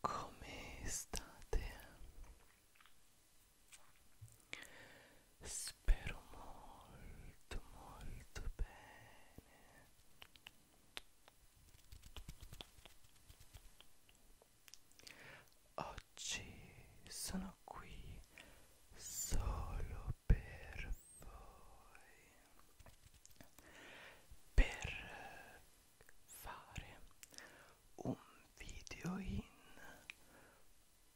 Come state? Spero molto molto bene. Oggi oggi sono qui solo per voi per fare un video in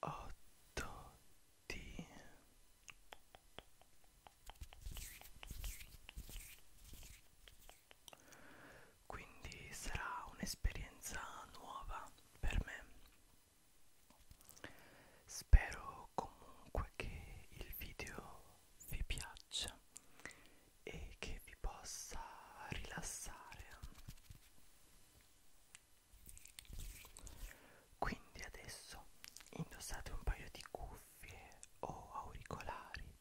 8D quindi sarà un'esperienza nuova per me Spero comunque che il video vi piaccia e che vi possa rilassare. Quindi adesso indossate un paio di cuffie o auricolari,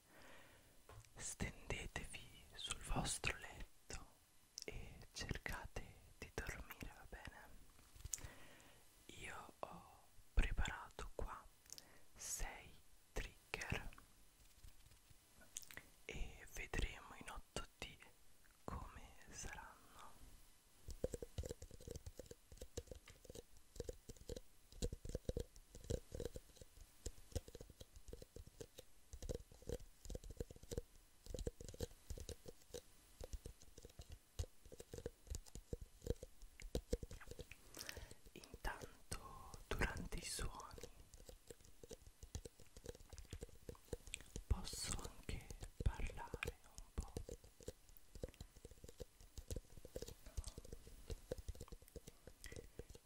stendetevi sul vostro letto e cercate di dormire, va bene? Io ho preparato qua 6 trigger e vedremo in 8D come saranno. Intanto durante i suoni posso anche parlare un po'.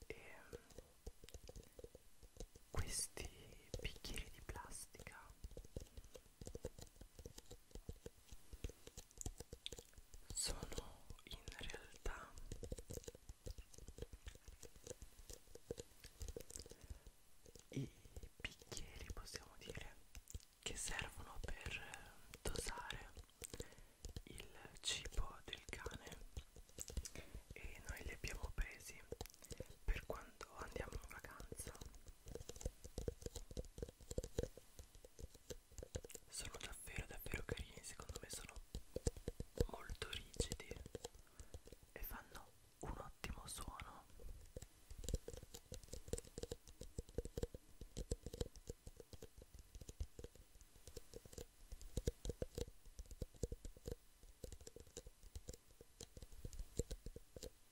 E ehm, questi bicchieri di plastica sono in realtà i bicchieri possiamo dire che servono per dosare il cibo del cane e noi li abbiamo presi per quando andiamo in vacanza sono davvero davvero carini secondo me sono molto rigidi e fanno un ottimo suono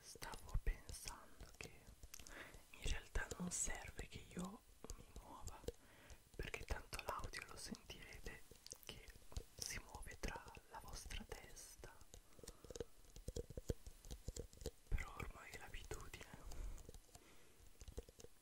Stavo pensando che in realtà non serve che io mi muova perché tanto l'audio lo sentirete che si muove tra la vostra testa però ormai è l'abitudine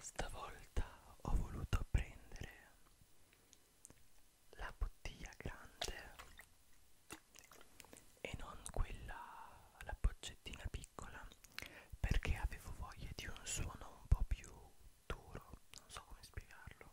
Stavolta ho voluto prendere la bottiglia grande e non quella, la boccettina piccola perché avevo voglia di un suono un po' più duro, non so come spiegarlo.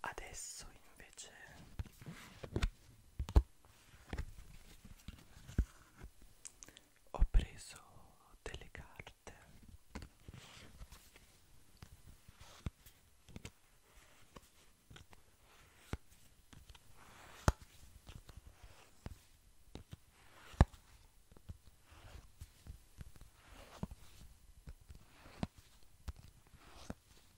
Adesso invece ho preso delle carte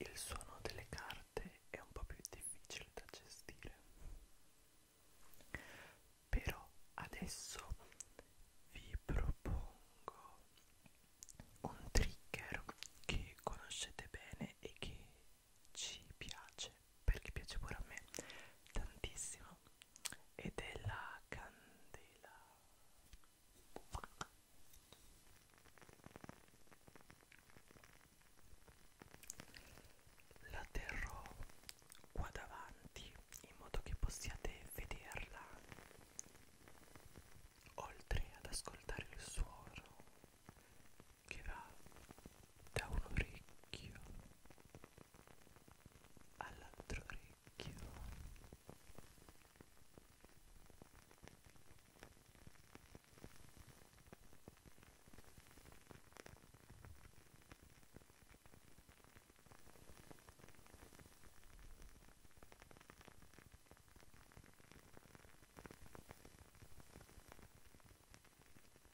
Il suono delle carte è un po' più difficile da gestire. Però adesso vi propongo un trigger che conoscete bene e che ci piace perché piace pure a me tantissimo ed è la candela la terrò qua davanti in modo che possiate vederla oltre ad ascoltare il suono che va da un orecchio all'altro orecchio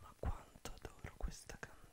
Ma quanto adoro questa candela.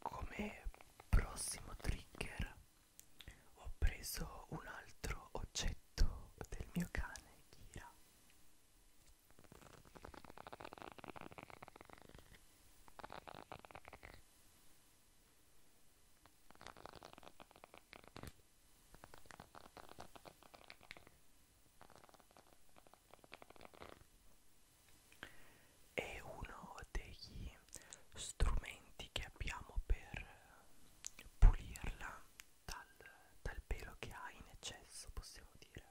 Come prossimo trigger ho preso un altro oggetto del mio cane Kira. È uno degli strumenti che abbiamo per pulirla dal, dal pelo che ha in eccesso, possiamo dire.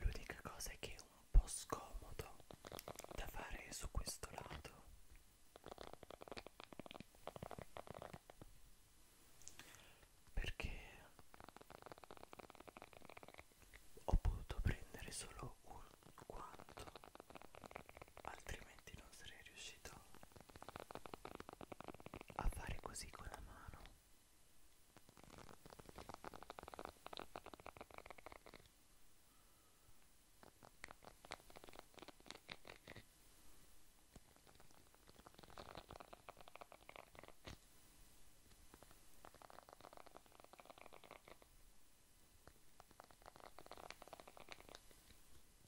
L'unica cosa è che è un po' scomodo da fare su questo lato. Perché ho potuto prendere solo un quanto, altrimenti non sarei riuscito a fare così con la mano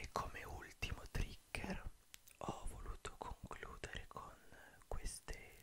E come ultimo trigger ho voluto concludere con queste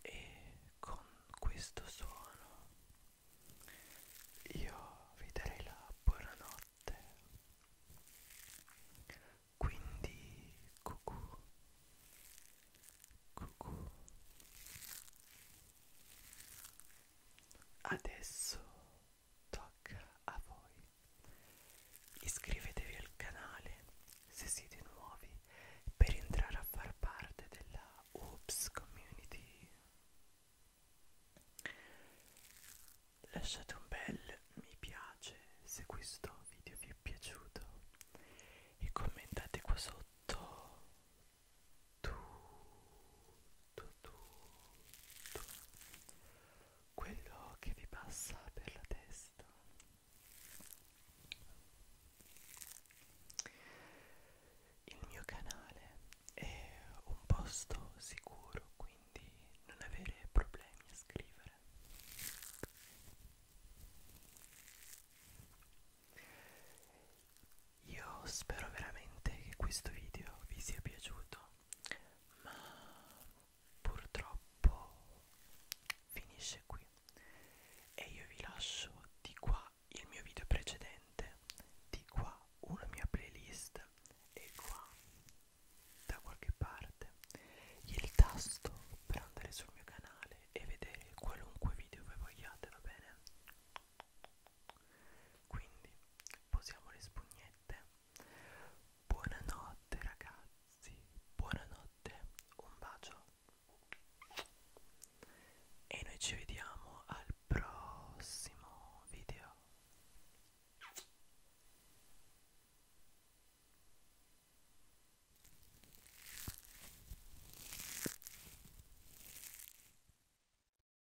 E con questo suono io vi darei la buonanotte. Quindi cucù cucù Adesso tocca a voi. Iscrivetevi al canale se siete nuovi per entrare a far parte della Oops Community. Lasciate un bel mi piace se questo video vi è piaciuto e commentate qua sotto tutto, tutto quello che vi passa per la testa. Il mio canale è un posto sicuro, quindi non avere problemi a scrivere. Io spero veramente che questo video vi sia piaciuto, ma purtroppo finisce qui e io vi lascio di qua il mio video precedente, di qua una mia playlist e qua da qualche parte il tasto per andare sul mio canale e vedere qualunque video voi vogliate, va bene? Quindi posiamo le spugnette. Buonanotte ragazzi, buonanotte, un bacio. E noi ci vediamo al prossimo video.